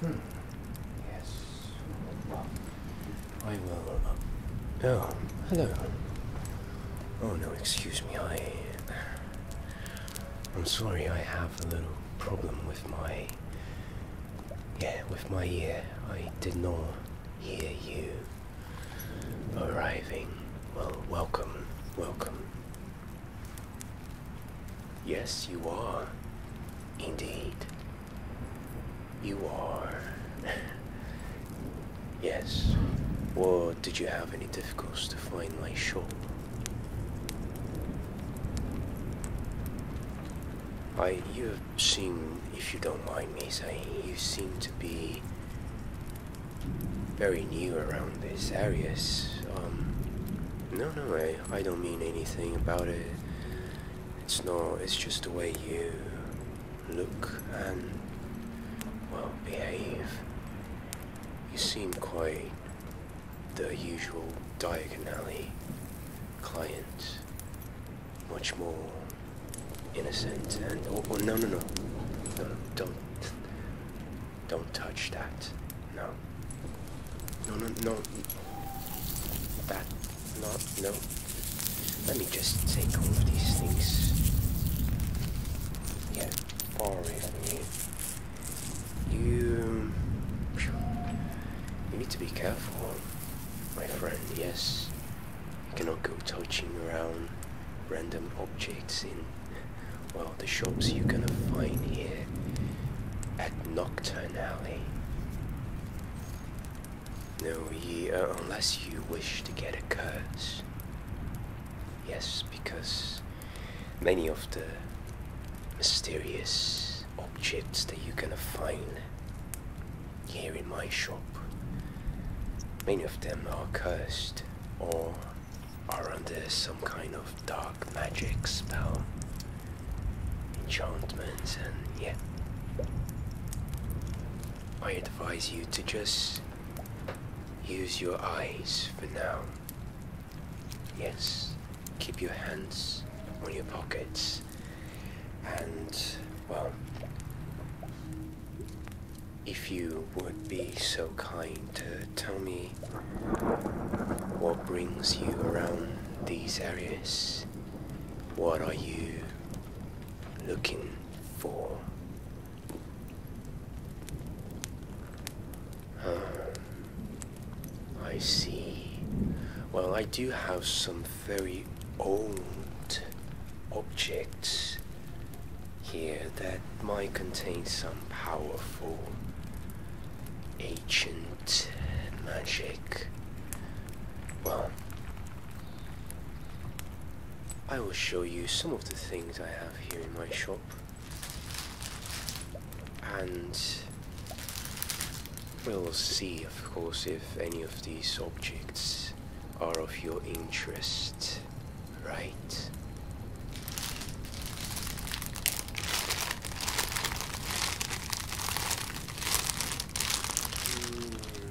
Hmm. Yes. I I. will. Oh, hello. Uh, oh, no. Excuse me. I'm sorry, I have a little problem with my yeah, with my ear, I did not hear you arriving. Well, welcome, welcome. Yes, you are. Indeed. You are. yes. Or did you have any difficulties to find my shop? I, you seem, if you don't mind me saying, you seem to be very new around this areas. Um, no, no, I, I don't mean anything about it. It's not, it's just the way you look and, well, behave. You seem quite the usual diagonally, client, much more innocent and oh, oh, no, no no no don't don't touch that no no no no that not no let me just take all of these things yeah far you... You need to be careful, my friend, yes. You cannot go touching around random objects in, well, the shops you're gonna find here at Nocturne Alley. No, you, uh, unless you wish to get a curse. Yes, because many of the mysterious objects that you're gonna find here in my shop. Many of them are cursed or are under some kind of dark magic spell, enchantments, and yeah. I advise you to just use your eyes for now Yes, keep your hands on your pockets. And, well, if you would be so kind to tell me what brings you around these areas, what are you looking for? I see. Well, I do have some very old objects here that might contain some powerful ancient magic. Well, I will show you some of the things I have here in my shop. And we'll see, of course, if any of these objects are of your interest, right? Hmm.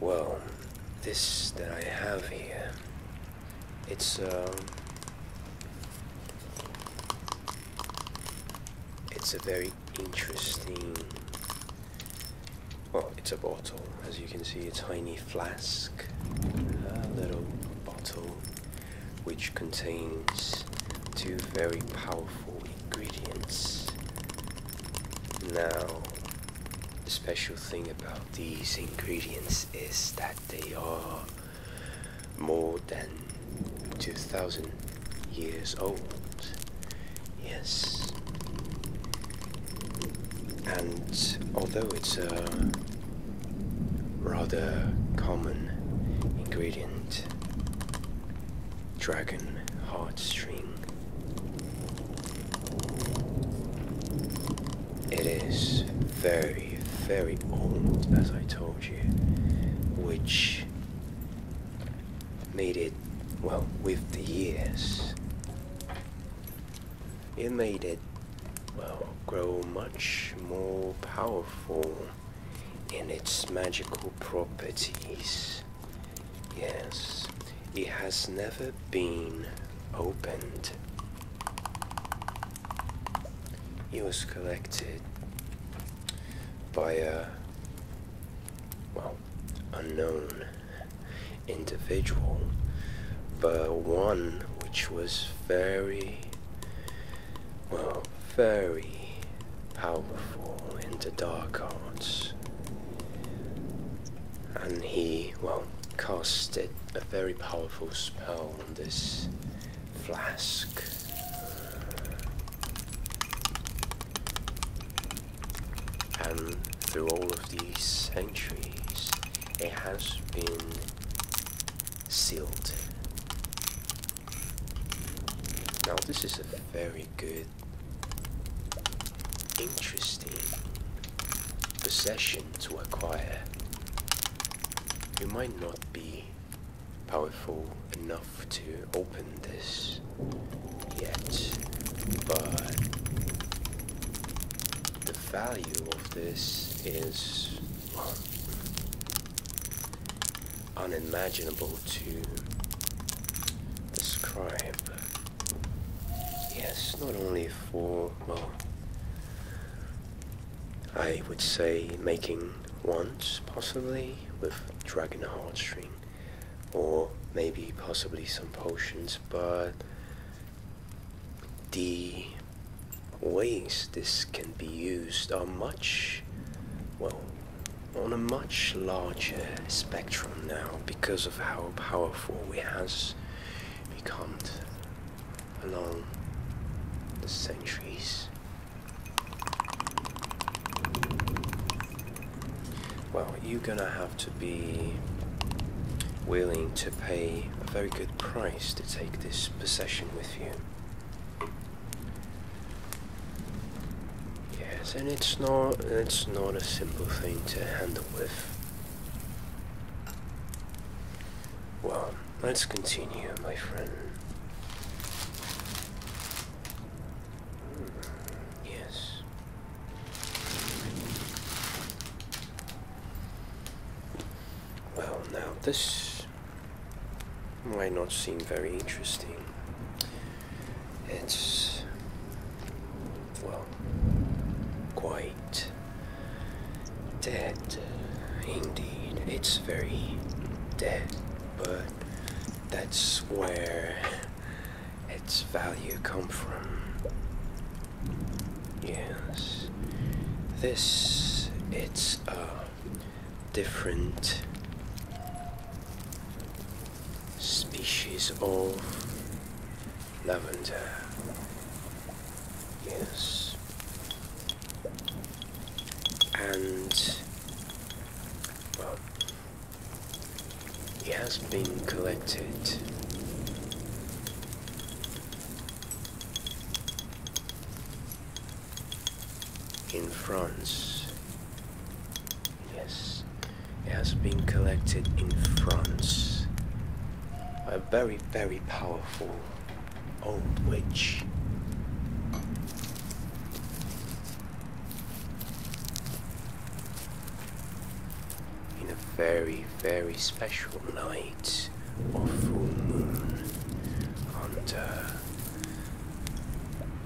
Well, this that I have here, it's, um, it's a very interesting, well, it's a bottle. As you can see, a tiny flask, a little bottle, which contains two very powerful ingredients. Now, the special thing about these ingredients is that they are more than 2,000 years old. Yes. And although it's a rather common ingredient, dragon heartstring it is very, very old, as I told you, which made it, well, with the years, it made it, well, grow much more powerful in its magical properties. Yes, it has never been opened. It was collected by a, well, unknown individual, but one which was very, well, very powerful in the dark arts and he, well, casted a very powerful spell on this flask. And through all of these centuries, it has been sealed. Now, this is a very good Interesting. Possession to acquire. You might not be powerful enough to open this yet, but the value of this is unimaginable to describe. Yes, not only for, well, I would say making wands possibly with dragon heartstring or maybe possibly some potions, but the ways this can be used are much, well, on a much larger spectrum now because of how powerful we has become along the centuries. Well, you're gonna have to be willing to pay a very good price to take this possession with you. Yes, and it's not it's not a simple thing to handle. Well, let's continue, my friend. Hmm, yes. Well, now this might not seem very interesting. It's, well, quite dead uh, indeed. It's very dead, but that's where its value come from. Yes, this, it's a different species of lavender. Yes. And, it has been collected. in France Yes, it has been collected in France by a very, very powerful old witch. In a very, very special night of full moon under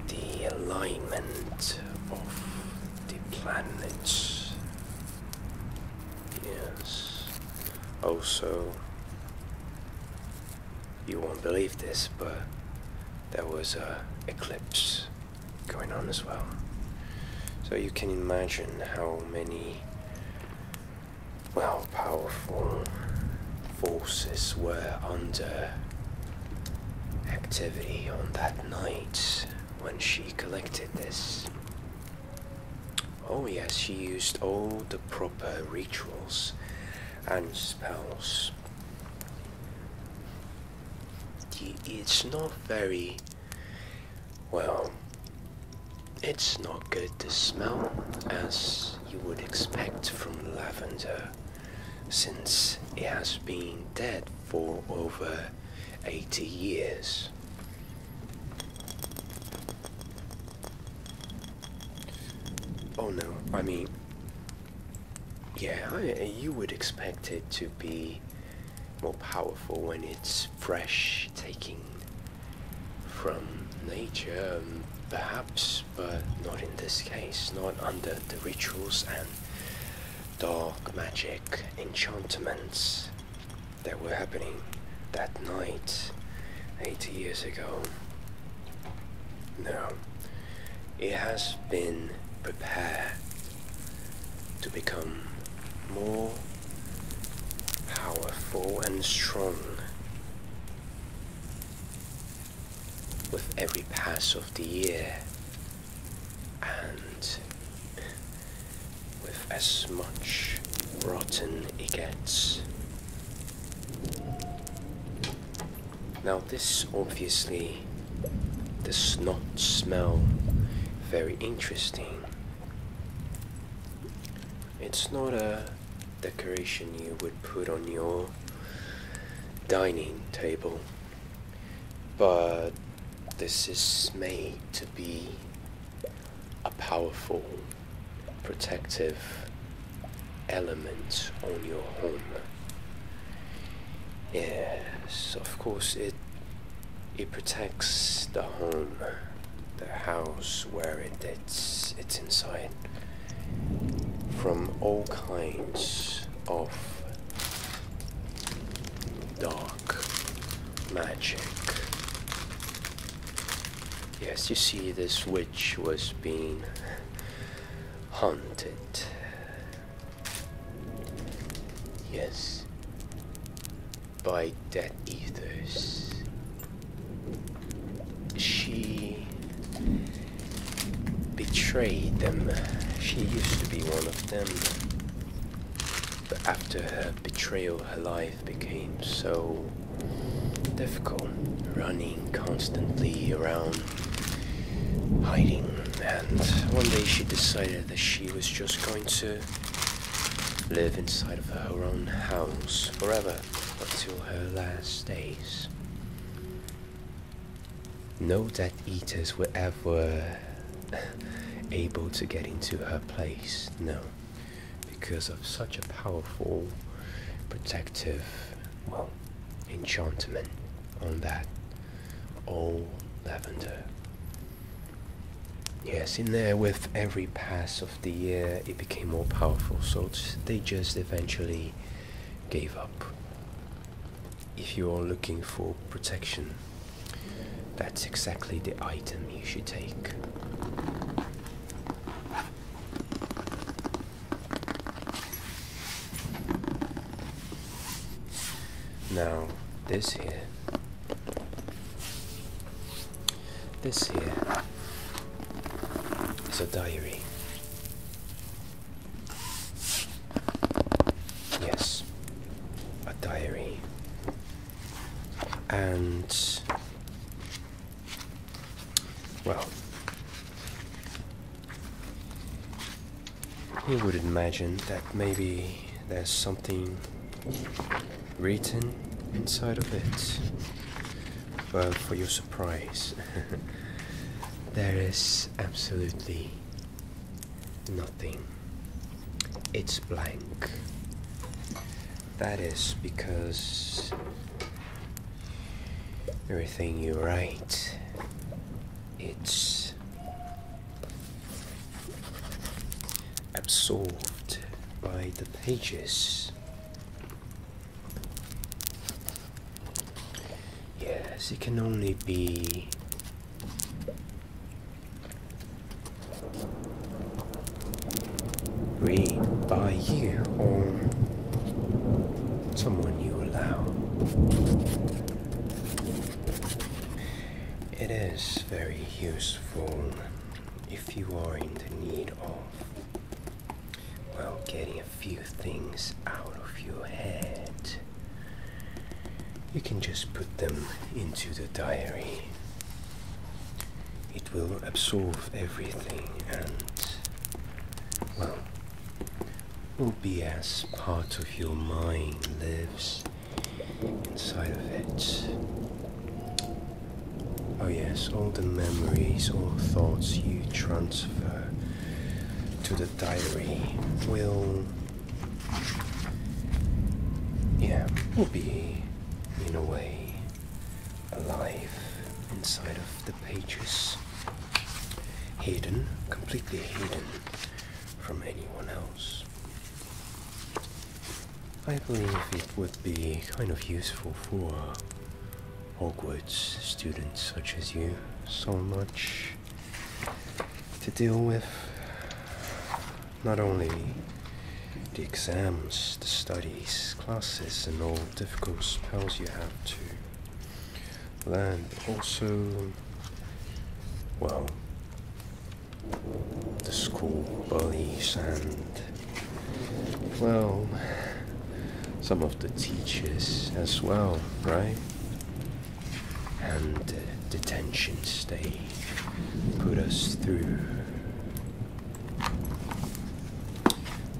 the alignment of the planets. Yes. Also, you won't believe this, but there was a eclipse going on as well. So you can imagine how many well powerful forces were under activity on that night when she collected this. Oh yes, she used all the proper rituals and spells. It's not very... well... It's not good to smell as you would expect from lavender since it has been dead for over 80 years. Oh no, I mean, yeah, you would expect it to be more powerful when it's fresh taking from nature, um, perhaps, but not in this case, not under the rituals and dark magic enchantments that were happening that night 80 years ago. Now, it has been prepared to become more powerful and strong with every pass of the year and with as much rotten it gets. Now this obviously does not smell very interesting. It's not a decoration you would put on your dining table. But this is made to be a powerful protective element on your home. Yes, of course it it protects the home, the house where it, it's it's inside from all kinds of dark magic. Yes, you see, this witch was being haunted. Yes, by dead ethers. She betrayed them. She used to be one of them. But after her betrayal, her life became so difficult. Running constantly around, hiding. And one day she decided that she was just going to live inside of her own house forever until her last days. No, dead eaters were ever able to get into her place. No, because of such a powerful protective, well, enchantment on that old lavender. Yes, in there with every pass of the year, it became more powerful. So they just eventually gave up. If you are looking for protection, that's exactly the item you should take. Now, this here. This here is a diary. Yes, a diary. And. Well. Who would imagine that maybe there's something written inside of it? Well, for your surprise, there is absolutely Nothing. It's blank. That is because everything you write, it's absorbed by the pages. Yes, it can only be. Read by you or someone you allow. It is very useful if you are in the need of, well, getting a few things out of your head, you can just put them into the diary. It will absorb everything and, well, will be as part of your mind lives inside of it. Oh, yes, all the memories, all thoughts you transfer to the diary will yeah will be in a way alive inside of the pages hidden completely hidden from anyone else I believe it would be kind of useful for Hogwarts students such as you so much to deal with not only the exams, the studies, classes, and all difficult spells you have to learn, but also, well, the school bullies and, well, some of the teachers as well, right? and the detention stage put us through.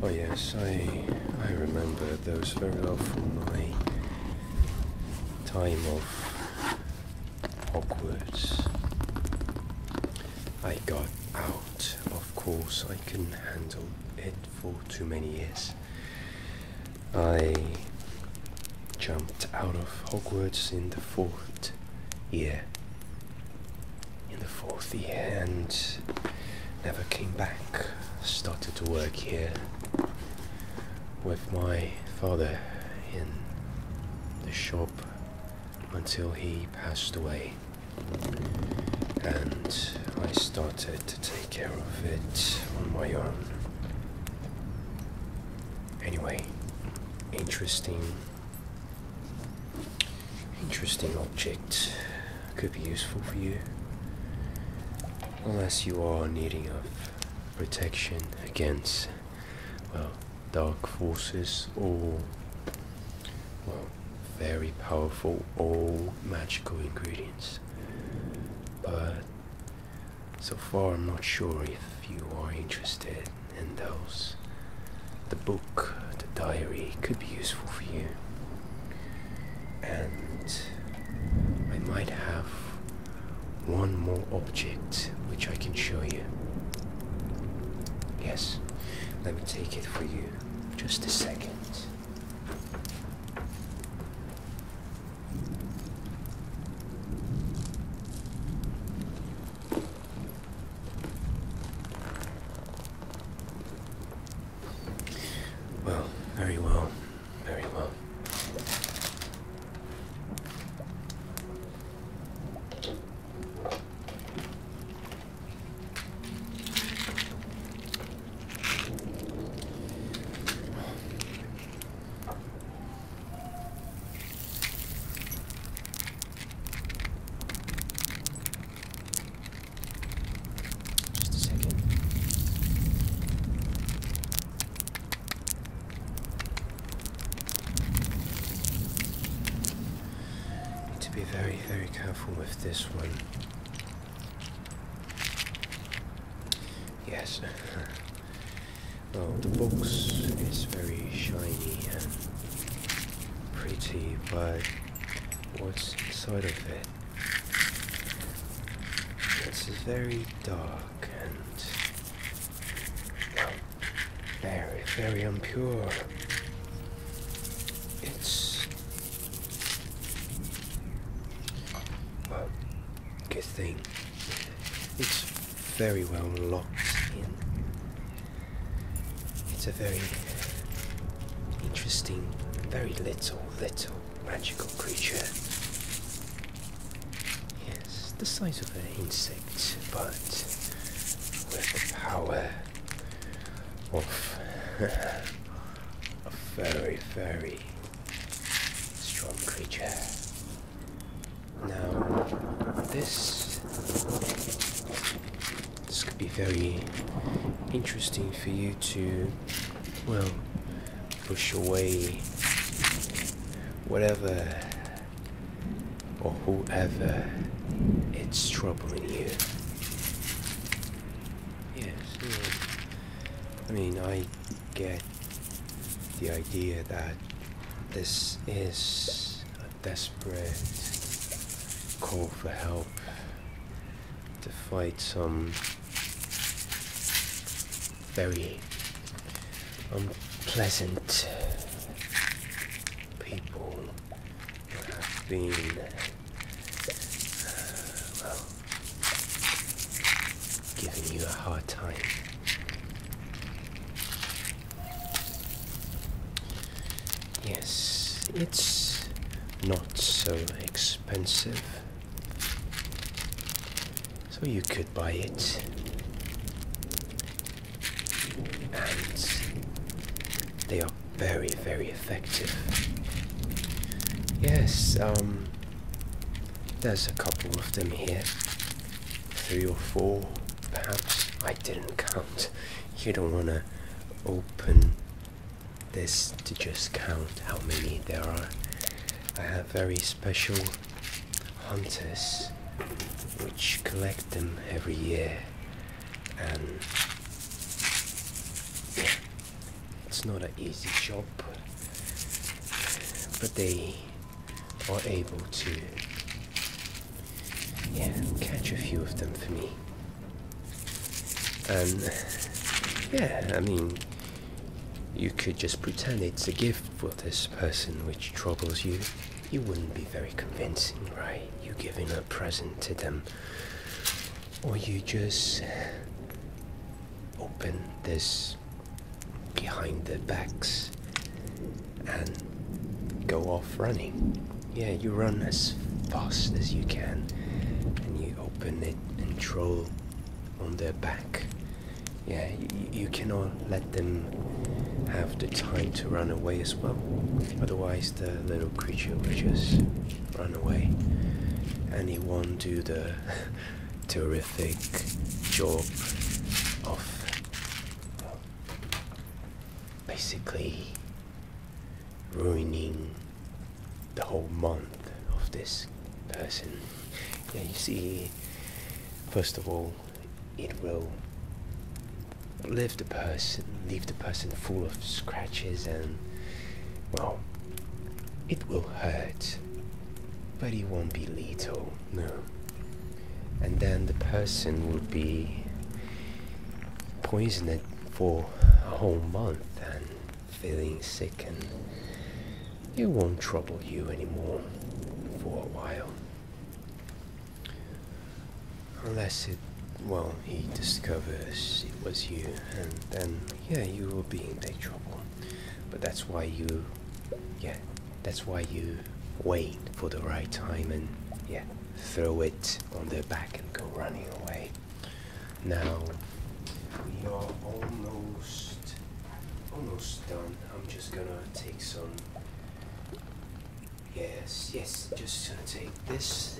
Oh yes, I I remember those very well from my time of Hogwarts. I got out, of course I couldn't handle it for too many years. I jumped out of Hogwarts in the fourth year. In the fourth year and never came back. Started to work here with my father in the shop until he passed away and I started to take care of it on my own. Anyway, interesting, interesting object could be useful for you, unless you are needing of protection against, well, dark forces or, well, very powerful or magical ingredients. But so far, I'm not sure if you are interested in those. The book, the diary, could be useful for you. And I might have one more object which I can show you. Yes, let me take it for you. Just a second. Well, very well, very well. Just a second. Need to be very, very careful with this one. Yes. well, the box is very shiny and pretty, but what's inside of it? It's very dark and very, very impure. It's good thing. It's very well locked in. It's a very interesting, very little, little magical creature. Yes, the size of an insect, but with the power of a very, very strong creature. Now, this this could be very interesting for you to, well, push away whatever or whoever it's troubling you. Yes, I mean, I get the idea that this is a desperate call for help to fight some very unpleasant people who well, giving you a hard time. Yes, it's not so expensive. So you could buy it. And they are very, very effective. Yes, um, there's a couple of them here. Three or four, perhaps. I didn't count. You don't want to open this to just count how many there are. I have very special hunters which collect them every year and yeah, it's not an easy job, but they are able to catch a few of them for me. And yeah, I mean, you could just pretend it's a gift for this person which troubles you. You wouldn't be very convincing, right? You giving a present to them or you just open this behind their backs and go off running. Yeah, you run as fast as you can and you open it and troll on their back. Yeah, you, cannot let them have the time to run away as well. Otherwise, the little creature will just run away. And he won't do the terrific job of basically ruining the whole month of this person. Yeah, you see, first of all, it will leave the person, leave the person full of scratches and well, it will hurt, but it won't be lethal, no. And then the person will be poisoned for a whole month and feeling sick, and it won't trouble you anymore for a while. Unless it, well, he discovers it was you, and then, yeah, you will be in big trouble. But that's why you, yeah, that's why you wait for the right time and, yeah, throw it on their back and go running away. Now, we are almost, almost done. I'm just gonna take some Yes, yes, just gonna take this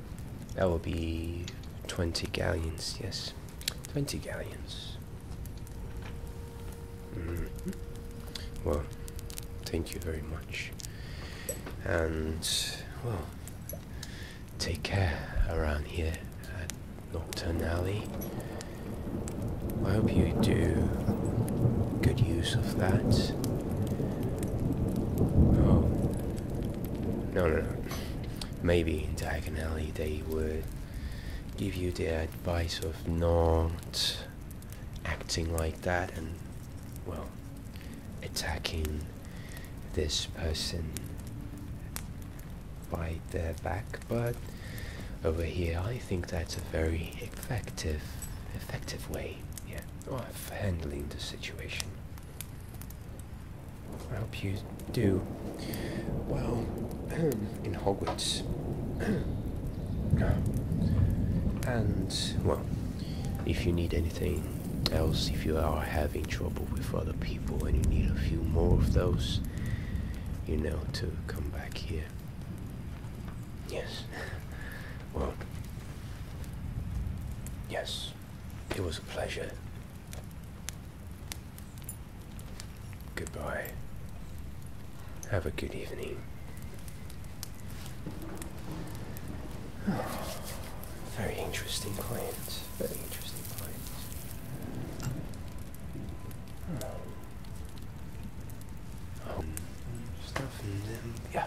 That will be 20 galleons, yes. 20 galleons. Mm-hmm. Well, thank you very much. And, well, take care around here at Nocturne I hope you do good use of that. Oh, no, no, no. Maybe in Diagon they would give you the advice of not acting like that and, well, attacking this person by their back, but over here I think that's a very effective, effective way, yeah i for handling the situation. I hope you do. Well, in Hogwarts. and, well, if you need anything else, if you are having trouble with other people and you need a few more of those, you know to come back here. Yes. Well, Yes, it was a pleasure. Goodbye. Have a good evening. very interesting clients. Very interesting clients. Um, um, yeah.